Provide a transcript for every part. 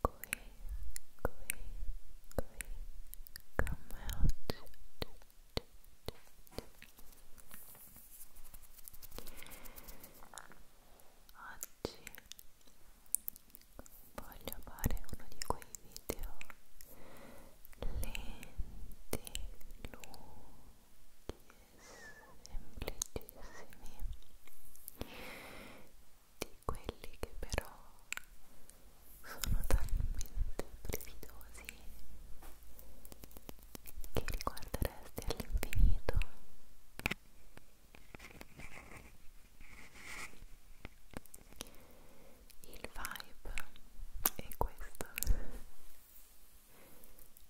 qui, qui, qui, come oggi oggi voglio fare uno di quei video lenti, lunghi, semplicissimi di di quelli che però sono talmente brividosi che li guarderesti all'infinito il vibe è questo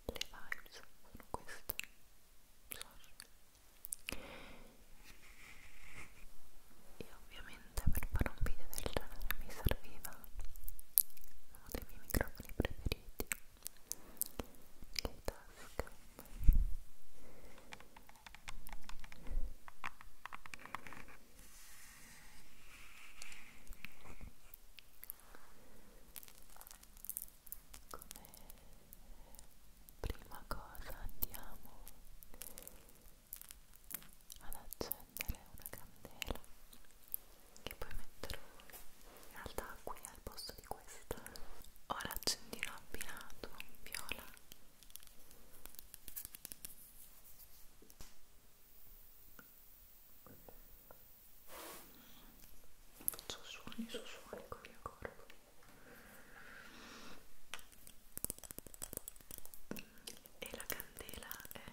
le vibes sono queste sorry e ovviamente per fare un video del genere mi serviva uno dei miei microfoni preferiti il Tascam come prima cosa andiamo ad accendere una candela che poi metterò in realtà qui al posto di questa ora accendino abbinato viola sussuoni sussuoni con il mio corpo e la candela è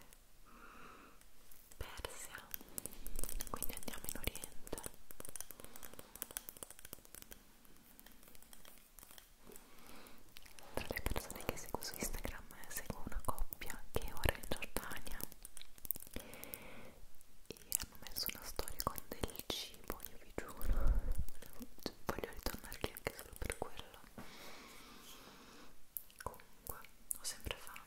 persia quindi andiamo in oriente tra le persone che seguo su Instagram seguo una coppia che ora è in Giordania e hanno messo una storia con del cibo, io vi giuro. Voglio ritornarli anche solo per quello. Comunque, ho sempre fame.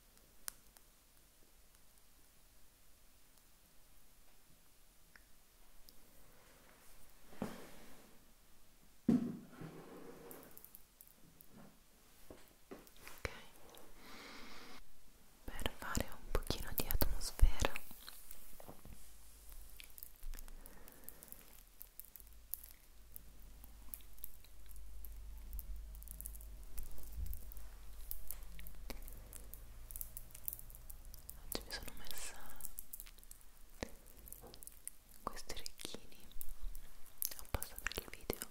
Ok, per fare un pochino di atmosfera Oggi mi sono messa questi orecchini apposta per il video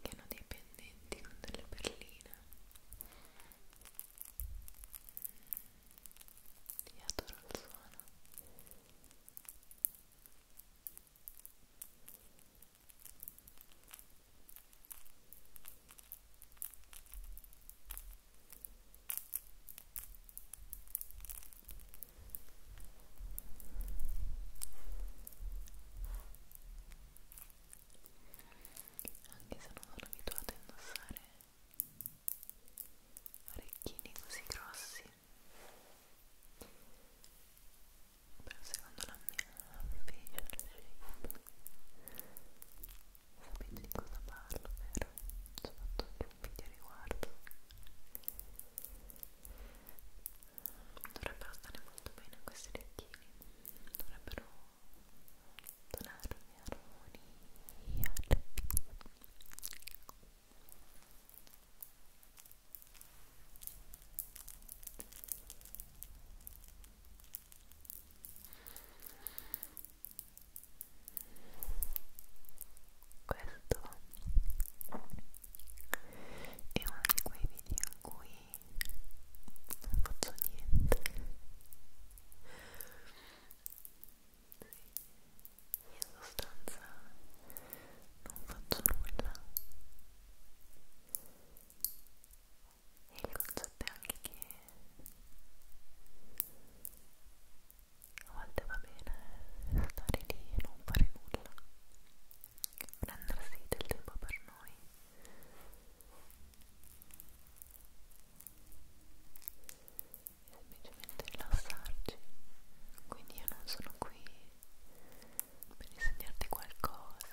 che hanno dei pendenti con delle perline e mm. adoro il suono anche se non sono abituata a indossare orecchini così grossi però secondo la mia facial shape sapete di cosa parlo, vero? Ho fatto anche un video riguardo dovrebbero stare molto bene questi orecchini dovrebbero donarmi armonia questo è uno di quei video in cui non faccio niente in sostanza non faccio nulla e il concetto è anche che a volte va bene stare lì e non fare nulla prendersi del tempo per noi e semplicemente rilassarci quindi io non sono qui per insegnarti qualcosa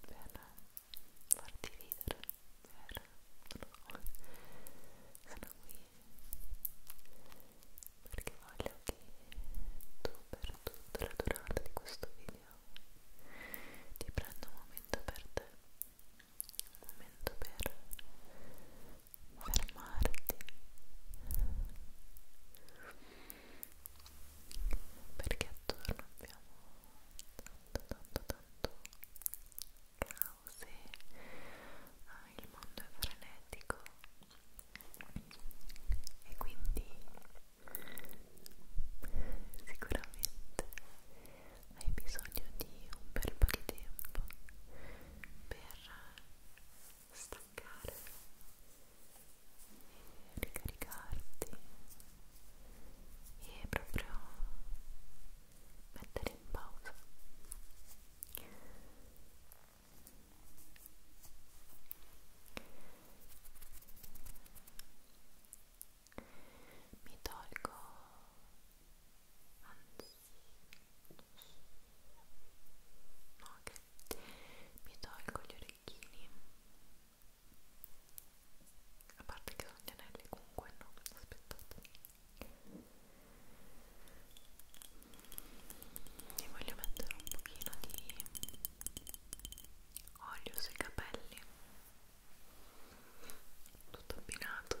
per farti ridere per... non lo so sono qui perché voglio che tu per tutta la durata di questo video ti prenda un momento per te un momento per fermarti perché attorno abbiamo tanto tanto tanto caos ah, il mondo è frenetico e quindi sicuramente hai bisogno di un bel po' di tempo per staccare e ricaricarti e proprio mettere in pausa mi tolgo anzi no che mi tolgo gli orecchini a parte che sono gli anelli comunque no aspettate e voglio mettere un pochino di olio sui capelli tutto abbinato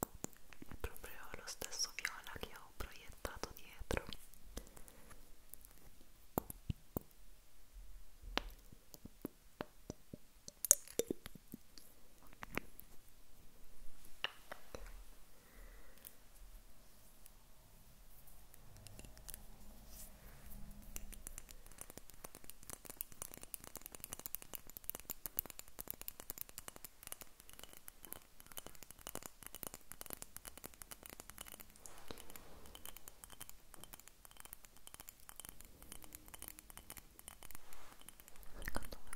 è proprio lo stesso viola che ho proiettato dietro Secondo me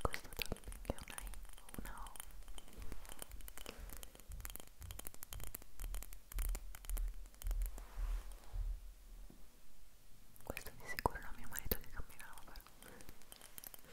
questo tapping è una I o una O Questo di sicuro era mio marito che camminava però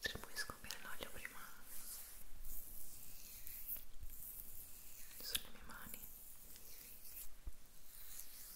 Distribuisco bene l'olio prima sulle mie mani. Ecco.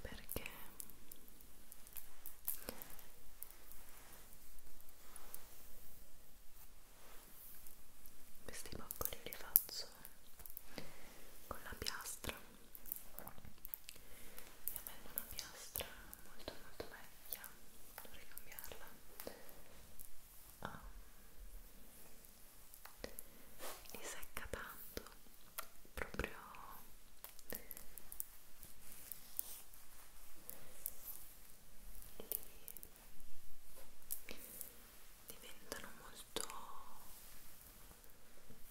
perché questi boccoli li faccio con la piastra e avendo una piastra molto molto vecchia dovrei cambiarla um, ah. li secca tanto proprio li diventano molto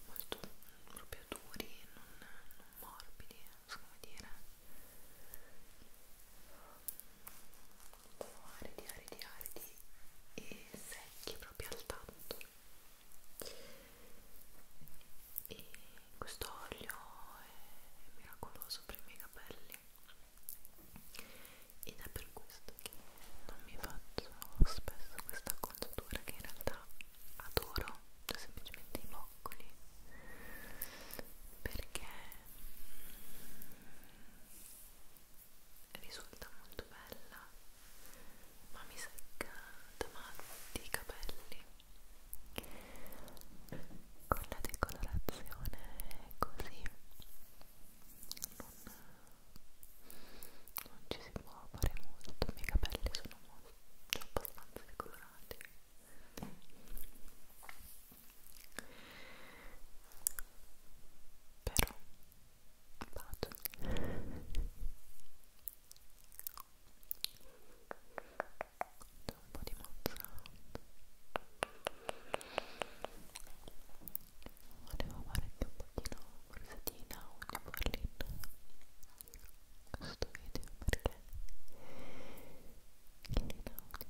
molto proprio duri non, non morbidi non so come dire sono aridi, aridi, aridi e secchi proprio al tanto e questo olio è miracoloso per i miei capelli ed è per questo che non mi faccio spesso questa contattura che in realtà adoro cioè semplicemente i boccoli perché risulta molto bella ma mi secca davanti i capelli con la decolorazione così non, non ci si può fare molto i miei capelli sono molto abbastanza decolorati però vado un po' di mozzarella volevo fare anche un pochino forse di audio in questo video perché in audio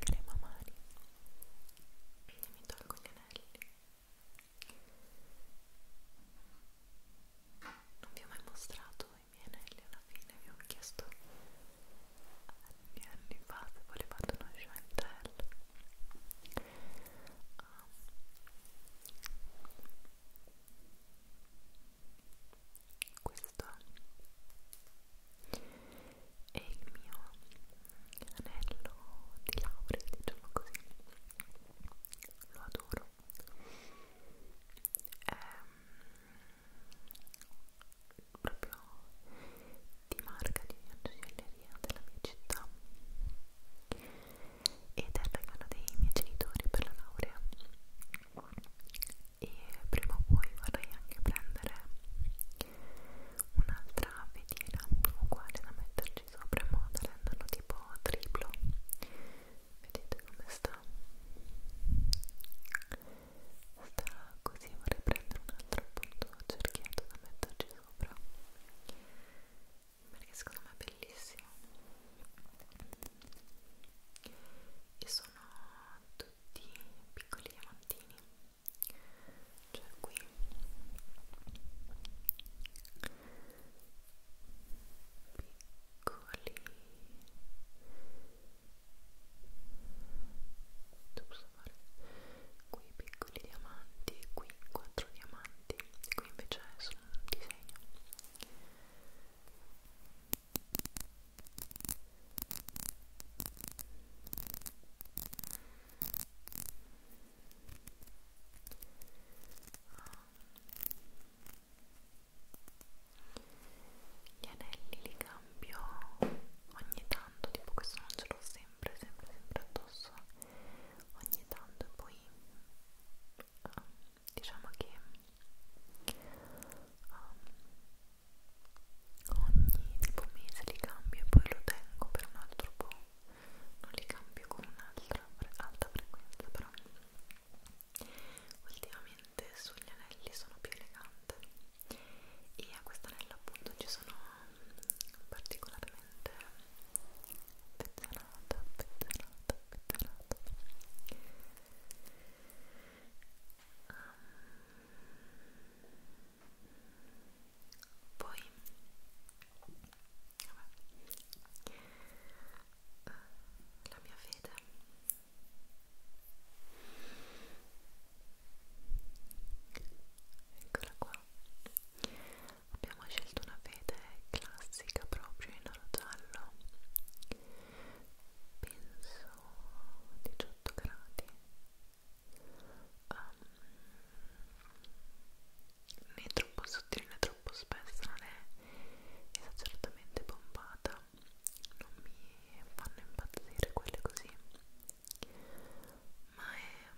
crema mani e mi tolgo gli anelli non vi ho mai mostrato i miei anelli alla fine vi ho chiesto anni anni fa se volevate uno chantel um, questo è il mio anello di laurea diciamo così lo adoro ehm, proprio di marca di una gioielleria della mia città ed è il regalo dei miei genitori per la laurea e prima o poi vorrei anche prendere un'altra fedina uguale da mettere metterci sopra in modo da renderlo tipo triplo vedete come sta sta così vorrei prendere un altro appunto cerchietto da metterci sopra perché secondo me è bellissimo e sono tutti piccoli diamantini cioè qui piccoli posso fare qui piccoli diamanti qui quattro diamanti qui invece è un disegno Ah, gli anelli li cambio ogni tanto tipo questo non ce l'ho sempre sempre sempre addosso ogni tanto e poi uh, diciamo che um, ogni tipo mese li cambio e poi lo tengo per un altro po' non li cambio con un'altra alta frequenza però ultimamente sugli anelli sono più elegante e a questo anello appunto ci sono mm, particolarmente pezzolata, pezzolata, pezzolata Um, ehm, poi Vabbè. la mia fede eccola qua abbiamo scelto una fede classica proprio in oro giallo penso 18 gradi um, né troppo sottile né troppo spessa, non è esageratamente pompata, non mi fanno impazzire quelle così, ma è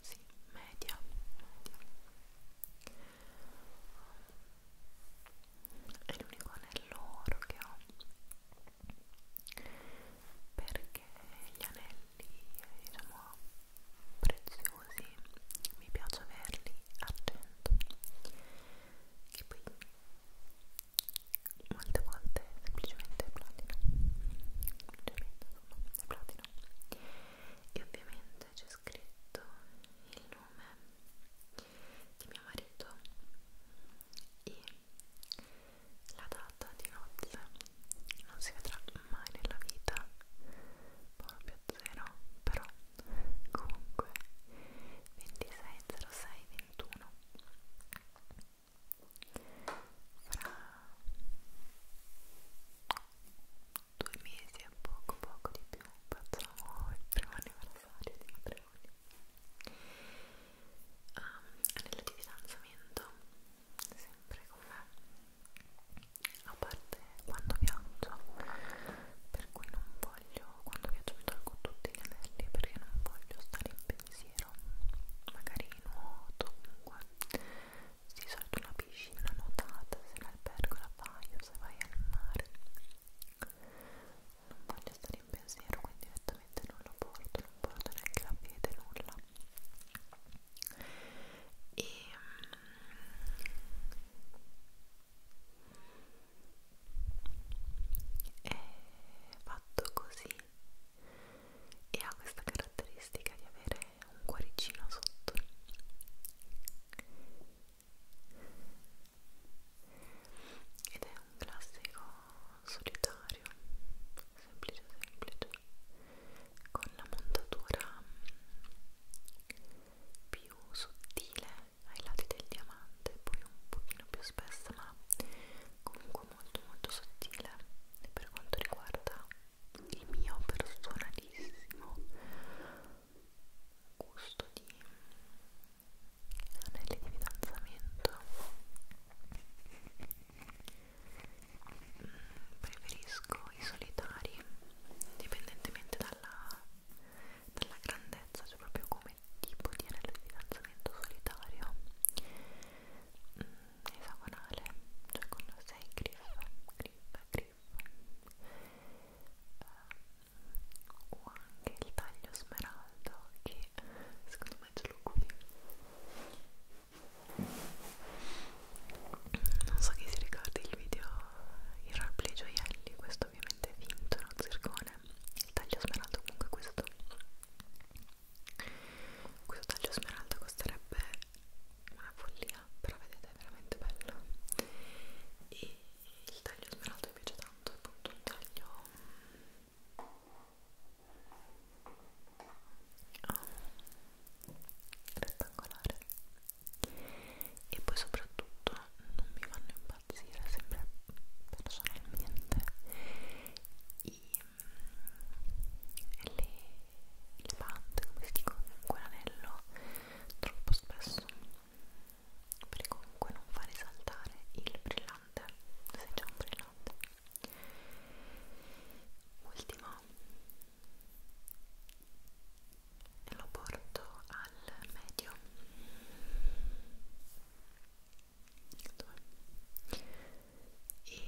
sì, media, media. È l'unico anello oro che ho perché gli anelli diciamo preziosi mi piace averli argento che poi molte volte semplicemente è platino semplicemente insomma è platino e ovviamente c'è scritto il nome di mio marito e la data di nozze non si vedrà mai nella vita proprio zero però comunque 260621 fra due mesi e poco poco di più facciamo il primo anniversario di matrimonio um, anello di fidanzamento sempre con me a parte quando viaggio per cui non voglio quando viaggio mi tolgo tutti gli anelli perché non voglio stare in pensiero magari nuoto comunque di solito una piscina nuotata se l'albergo la fai o se vai al mare non voglio stare in pensiero quindi direttamente non lo porto non porto neanche la piede nulla e ehm, è fatto così e ha questa caratteristica di avere un cuoricino sotto ed è un classico solitario semplice semplice con la montatura più sottile ai lati del diamante poi un pochino più spessa ma comunque molto molto sottile e per quanto riguarda il mio personalissimo gusto di anelli di fidanzamento preferisco i solitari indipendentemente dalla, dalla grandezza cioè proprio come tipo di anello di fidanzamento solitario mm, esagonale cioè con 6 griff griff griff uh, o anche il taglio smeraldo che secondo me ce l'ho qui non so chi si ricordi il video il roleplay gioielli questo ovviamente è vinto non zircone il taglio smeraldo comunque questo questo taglio smeraldo costerebbe una follia però vedete è veramente bello e il taglio smeraldo mi piace tanto è appunto un taglio oh, rettangolare e poi soprattutto non mi fanno impazzire sempre personalmente i, le, le bande come si dicono comunque l'anello troppo spesso perché comunque non fa risaltare il brillante se c'è un brillante ultima e lo porto al medio 2 e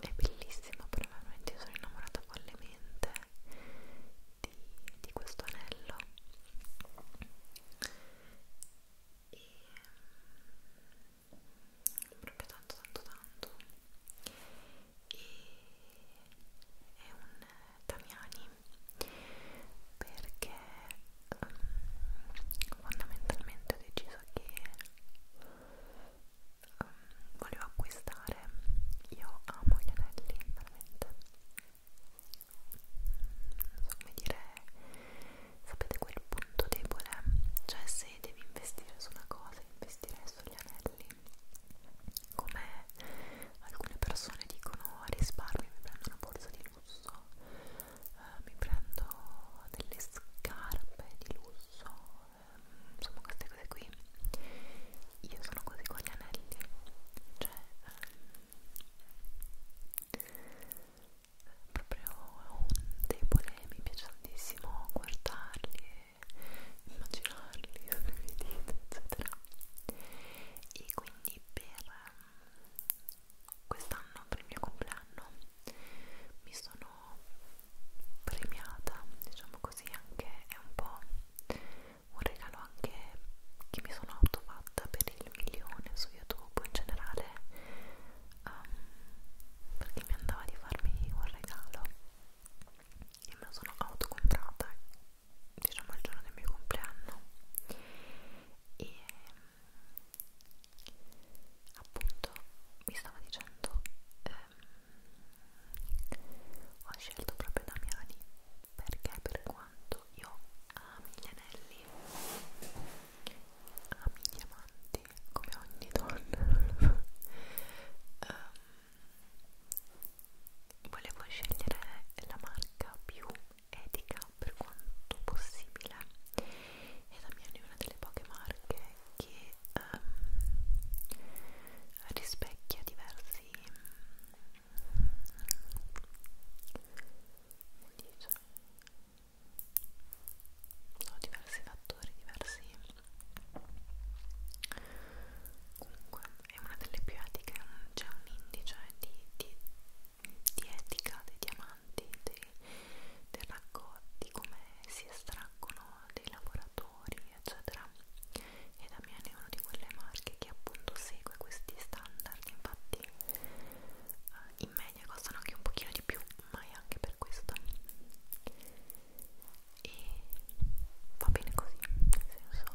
è bellissimo probabilmente sono innamorata follemente di, di questo anello e proprio tanto tanto tanto e è un Tamiani perché um, fondamentalmente ho deciso che um, volevo acquistare io amo gli anelli veramente non so come dire sapete quel punto debole cioè se devi investire su una cosa investire sugli anelli come alcune persone dicono risparmio mi prendo una borsa di lusso eh, mi prendo delle scarpe di lusso eh, insomma queste cose qui io sono così con gli anelli cioè eh, proprio un debole mi piace tantissimo guardarli immaginarli, sorridete, eccetera. E quindi per mm, quest'anno, per il mio compleanno, mi sono premiata, diciamo così, anche è un po' un regalo anche che mi sono autofatta per il milione su YouTube in generale um, perché mi andava di farmi un regalo e me lo sono autocomprata diciamo il giorno del mio compleanno e ehm, appunto mi stava dicendo ehm, ho scelto proprio Damiani perché per quanto io ami gli anelli ami i diamanti come ogni donna um, volevo scegliere la marca più etica per quanto possibile e la mia è una delle poche marche che um, rispecchia diversi sono mm, cioè, diversi fattori, diversi comunque è una delle più etiche c'è un indice di, di, di etica dei diamanti dei, dei raccolti come si estraggono dei lavoratori eccetera e Damien è una di quelle marche che appunto segue questi standard infatti eh, in media costano anche un pochino di più ma è anche per questo e va bene così, nel senso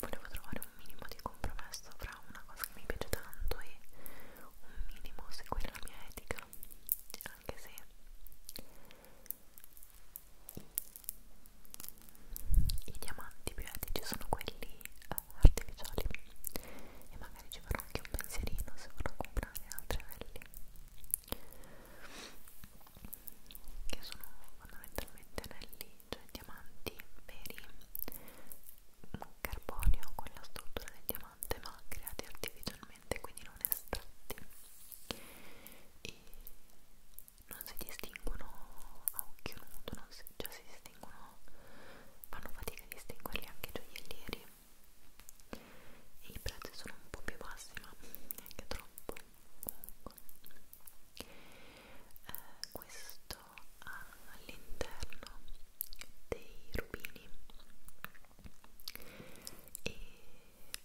volevo trovare un minimo di compromesso fra una cosa che mi piace tanto e un minimo seguire la mia etica, anche se i, i diamanti più etici sono quelli eh, artificiali e magari ci farò anche un pensierino se vorrò comprare altri anelli che sono fondamentalmente anelli, cioè diamanti veri carbonio con la struttura del diamante ma creati artificialmente quindi non estratti e non si distinguono a occhio nudo non si, cioè si distinguono fanno fatica a distinguerli anche i gioiellieri e i prezzi sono un po' più bassi ma neanche troppo comunque eh, questo ha all'interno dei rubini e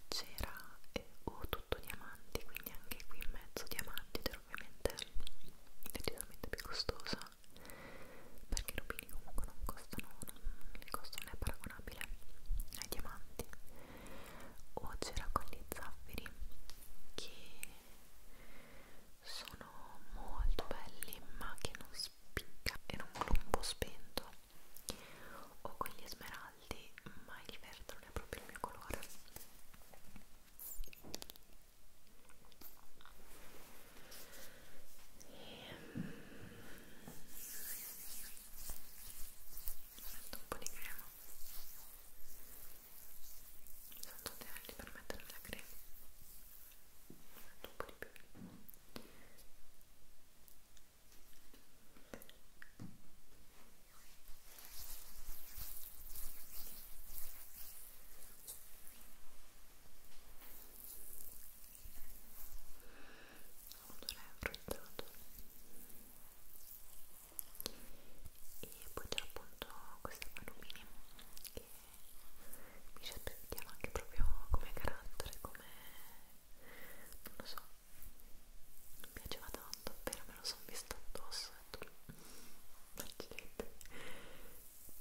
c'era eh, o tutto diamanti quindi anche qui in mezzo diamanti ovviamente decisamente più costosa perché i rubini comunque non costano, non, il costo non è paragonabile ai diamanti o c'era con gli zaffiri che sono molto belli ma che non spicca era un colombo spento o con gli smeraldi ma il verde non è proprio il mio colore metto un po' di crema sono tutti anelli per mettere la crema metto un po' di più odore fruttato e poi c'è appunto questa palomini che mi certifichiamo anche proprio come carattere come non lo so mi piaceva tanto appena me lo sono visto addosso e tutto mm, che in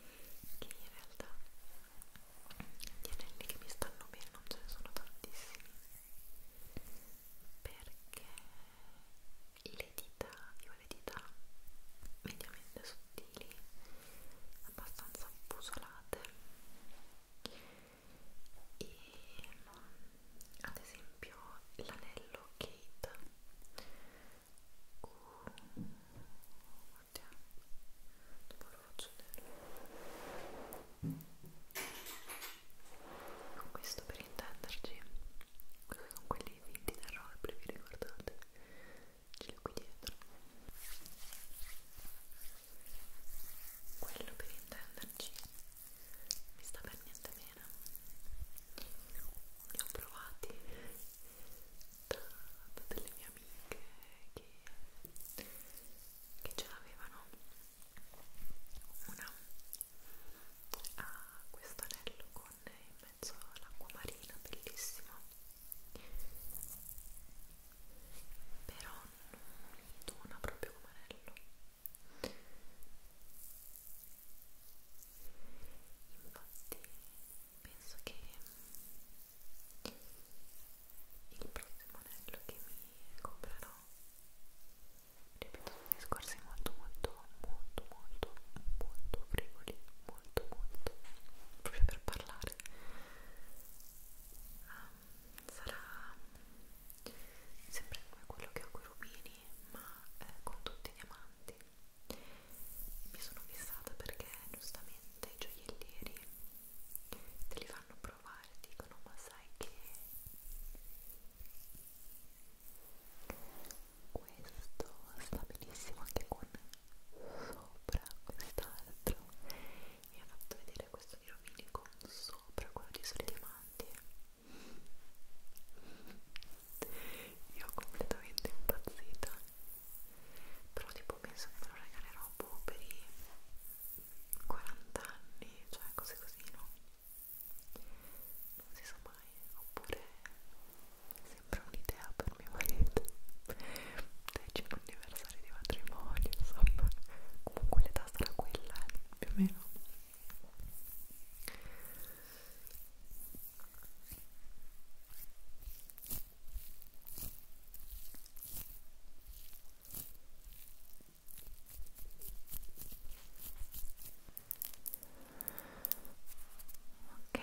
realtà gli anelli che mi stanno bene non ce ne sono tantissimi perché le dita, io ho le dita mediamente sottili abbastanza busolate e mm, ad esempio l'anello Kate uh, oddio dopo lo faccio vedere questo per intenderci quelli sono quelli vinti da roleplay vi ricordate ce li ho qui dietro quello per intenderci mi sta per niente bene li ho provati da, da delle mie amiche che, che ce l'avevano una ha questo anello con in mezzo l'acqua marina bellissimo però non dona proprio come anello Infatti penso che il prossimo anello che mi comprerò ripeto sono discorsi molto molto molto molto molto frivoli molto molto proprio per parlare um, sarà sempre come quello che ho con i rubini ma eh, con tutti i diamanti mi sono fissata perché giustamente i gioiellieri te li fanno provare dicono ma sai che questo sta benissimo anche con sopra quest'altro mi ha fatto vedere questo di Romilico sopra quello di Sole Diamanti io ho completamente impazzita però tipo penso che me lo regalerò boh per i 40 anni cioè cose così no? non si sa mai oppure sembra un'idea per mio marito dai c'è un universo anniversario di matrimonio, insomma, comunque l'età sarà quella, eh, più o meno. Ok,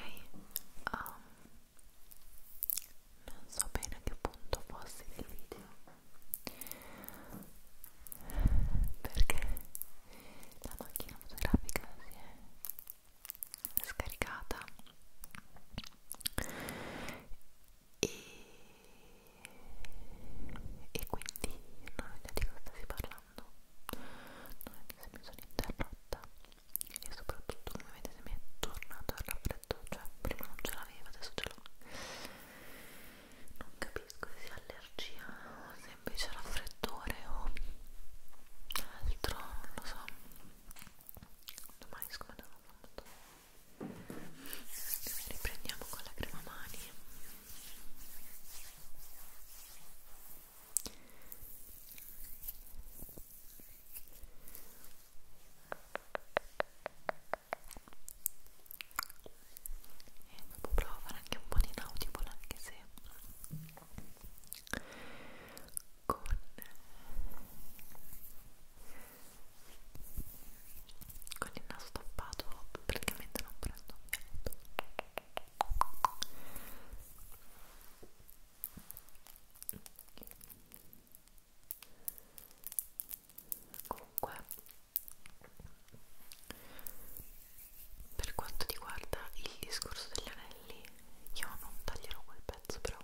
um, non so bene a che punto fossi del video perché la macchina fotografica si è scaricata e, e quindi non ho idea di cosa stai parlando non ho idea se mi sono interrotta e soprattutto come vedete mi è tornato il raffreddo cioè prima non ce l'avevo adesso ce l'ho non capisco se sia allergia o se invece raffreddore o altro, non lo so domani scomandiamo molto riprendiamo con la crema mani e dopo provo a fare anche un po' di inaudible anche se con con il naso stoppato praticamente non prendo niente Okay comunque per quanto riguarda il discorso degli anelli io non taglierò quel pezzo però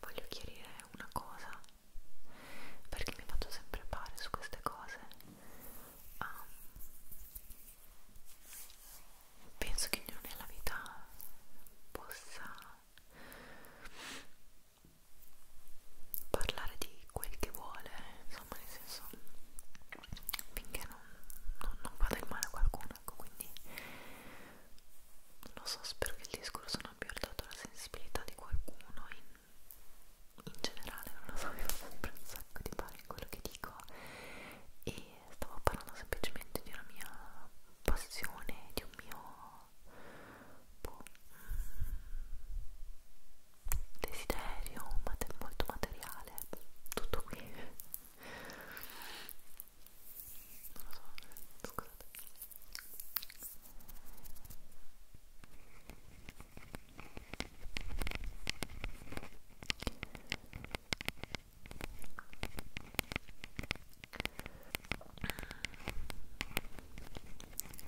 voglio chiarire una cosa perché mi faccio sempre pare su queste cose um, penso che ognuno nella vita possa parlare di quel che vuole, insomma, nel senso finché non, non, non fa del male a qualcuno, ecco, quindi non lo so, spero che il discorso non abbia urtato la sensibilità di qualcuno in, in generale, non lo so, mi fa sempre un sacco di pari in quello che dico e stavo parlando semplicemente di una mia passione, di un mio boh, desiderio, ma molto materiale, tutto qui. Non lo so, scusate.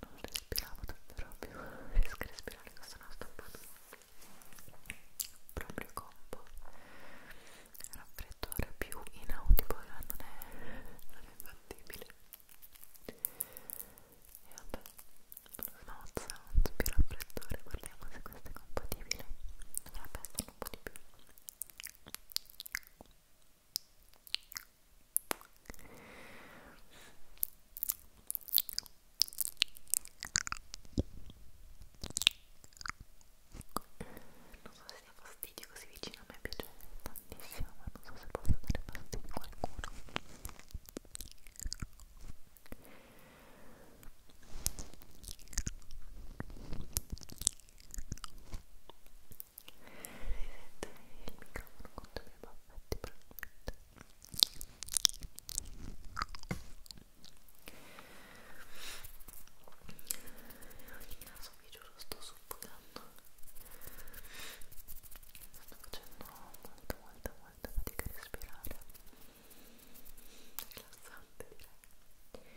non respiravo davvero più riesco a respirare che sono stoppato proprio combo raffreddore più inaudibile non è, non è fattibile e vabbè smozza, non so più raffreddore guardiamo se questo è compatibile dovrebbe essere un po' di più non so se sia fastidio così vicino a me piace tantissimo ma non so se posso dare fastidio a qualcuno microfono con due baffetti probabilmente in ogni caso vi giuro sto soffocando sto facendo molta molta molta fatica a respirare rilassante direi Ecco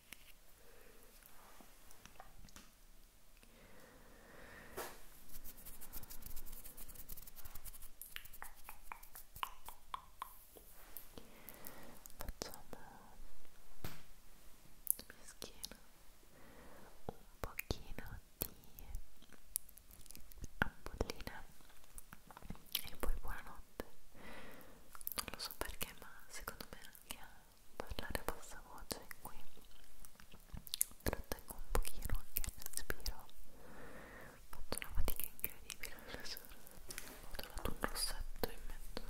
mia schiena un pochino di ampollina e poi buonanotte non lo so perché ma secondo me anche a parlare a bassa voce qui trattengo un pochino anche il respiro ho fatto una fatica incredibile ho trovato un rossetto in mezzo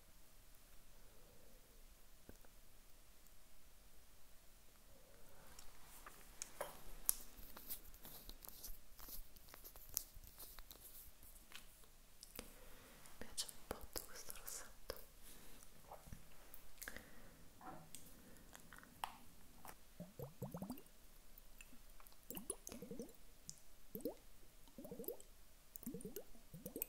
Mi piace un po' questo rossetto. Ecco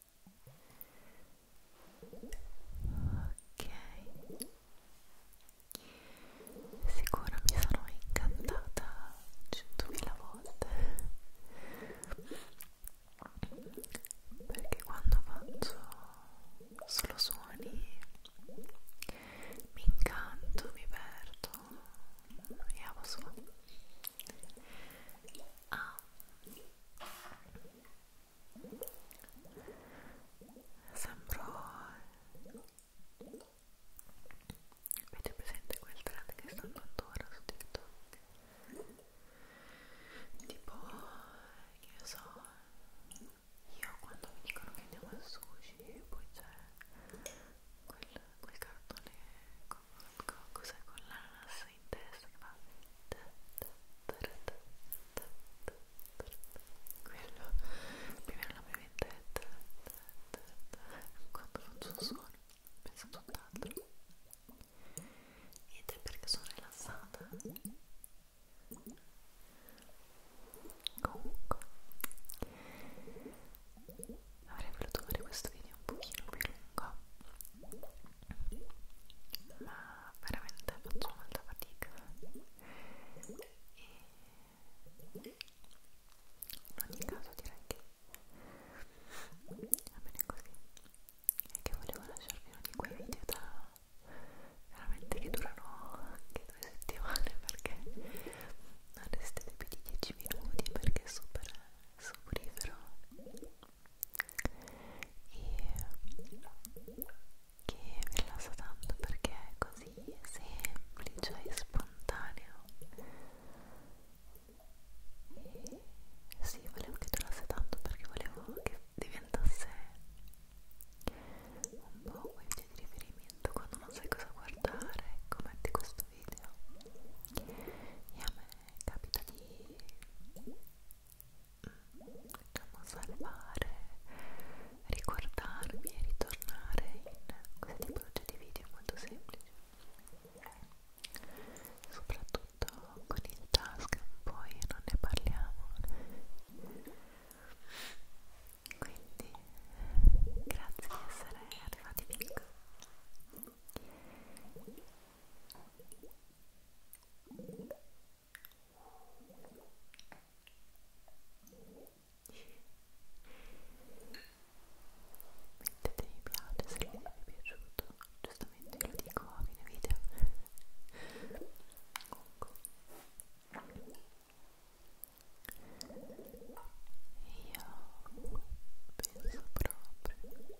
Ok. Sicura mi sono incantata centomila volte perché quando faccio solo suoni mi incanto, mi perdo e a posto. Ah, Sembro... Avete presente quel trend che stanno attorno su TikTok? Tipo, che ne so, io quando mi dicono che andiamo al sushi, poi c'è quel, quel cartone con qualcosa con l'ananas in testa che fa quello più o meno la mia vendetta quando faccio un suono penso a tutt'altro ed è perché sono rilassata comunque avrei voluto fare questo video un pochino più lungo ma veramente faccio molta fatica e in ogni caso direi che va bene così e che volevo lasciarvi uno di quei video da veramente che durano anche due settimane perché non restate più di 10 minuti perché è super soporifero e che vi rilassa tanto perché è così semplice e spontaneo e sì, volevo che durasse tanto perché volevo che diventasse un po' quel video di riferimento quando non sai cosa guardare ecco metti questo video e a me capita di diciamo, mm, salvare, ricordarmi e ritornare in queste tipologie di video molto semplici soprattutto con il task poi non ne parliamo quindi grazie di essere arrivati fin qui Mettete mi piace se il video vi è piaciuto, giustamente lo dico a fine video. Comunque. Io penso proprio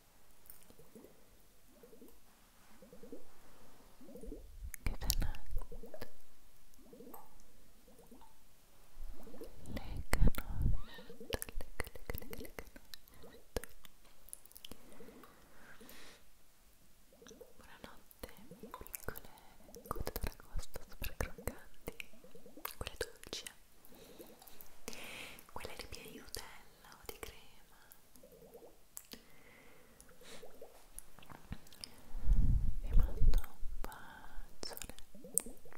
piccole gote d'aragosto super croccanti, quelle dolci, quelle che mi aiutano nutella o di crema vi mando un bacione che li speri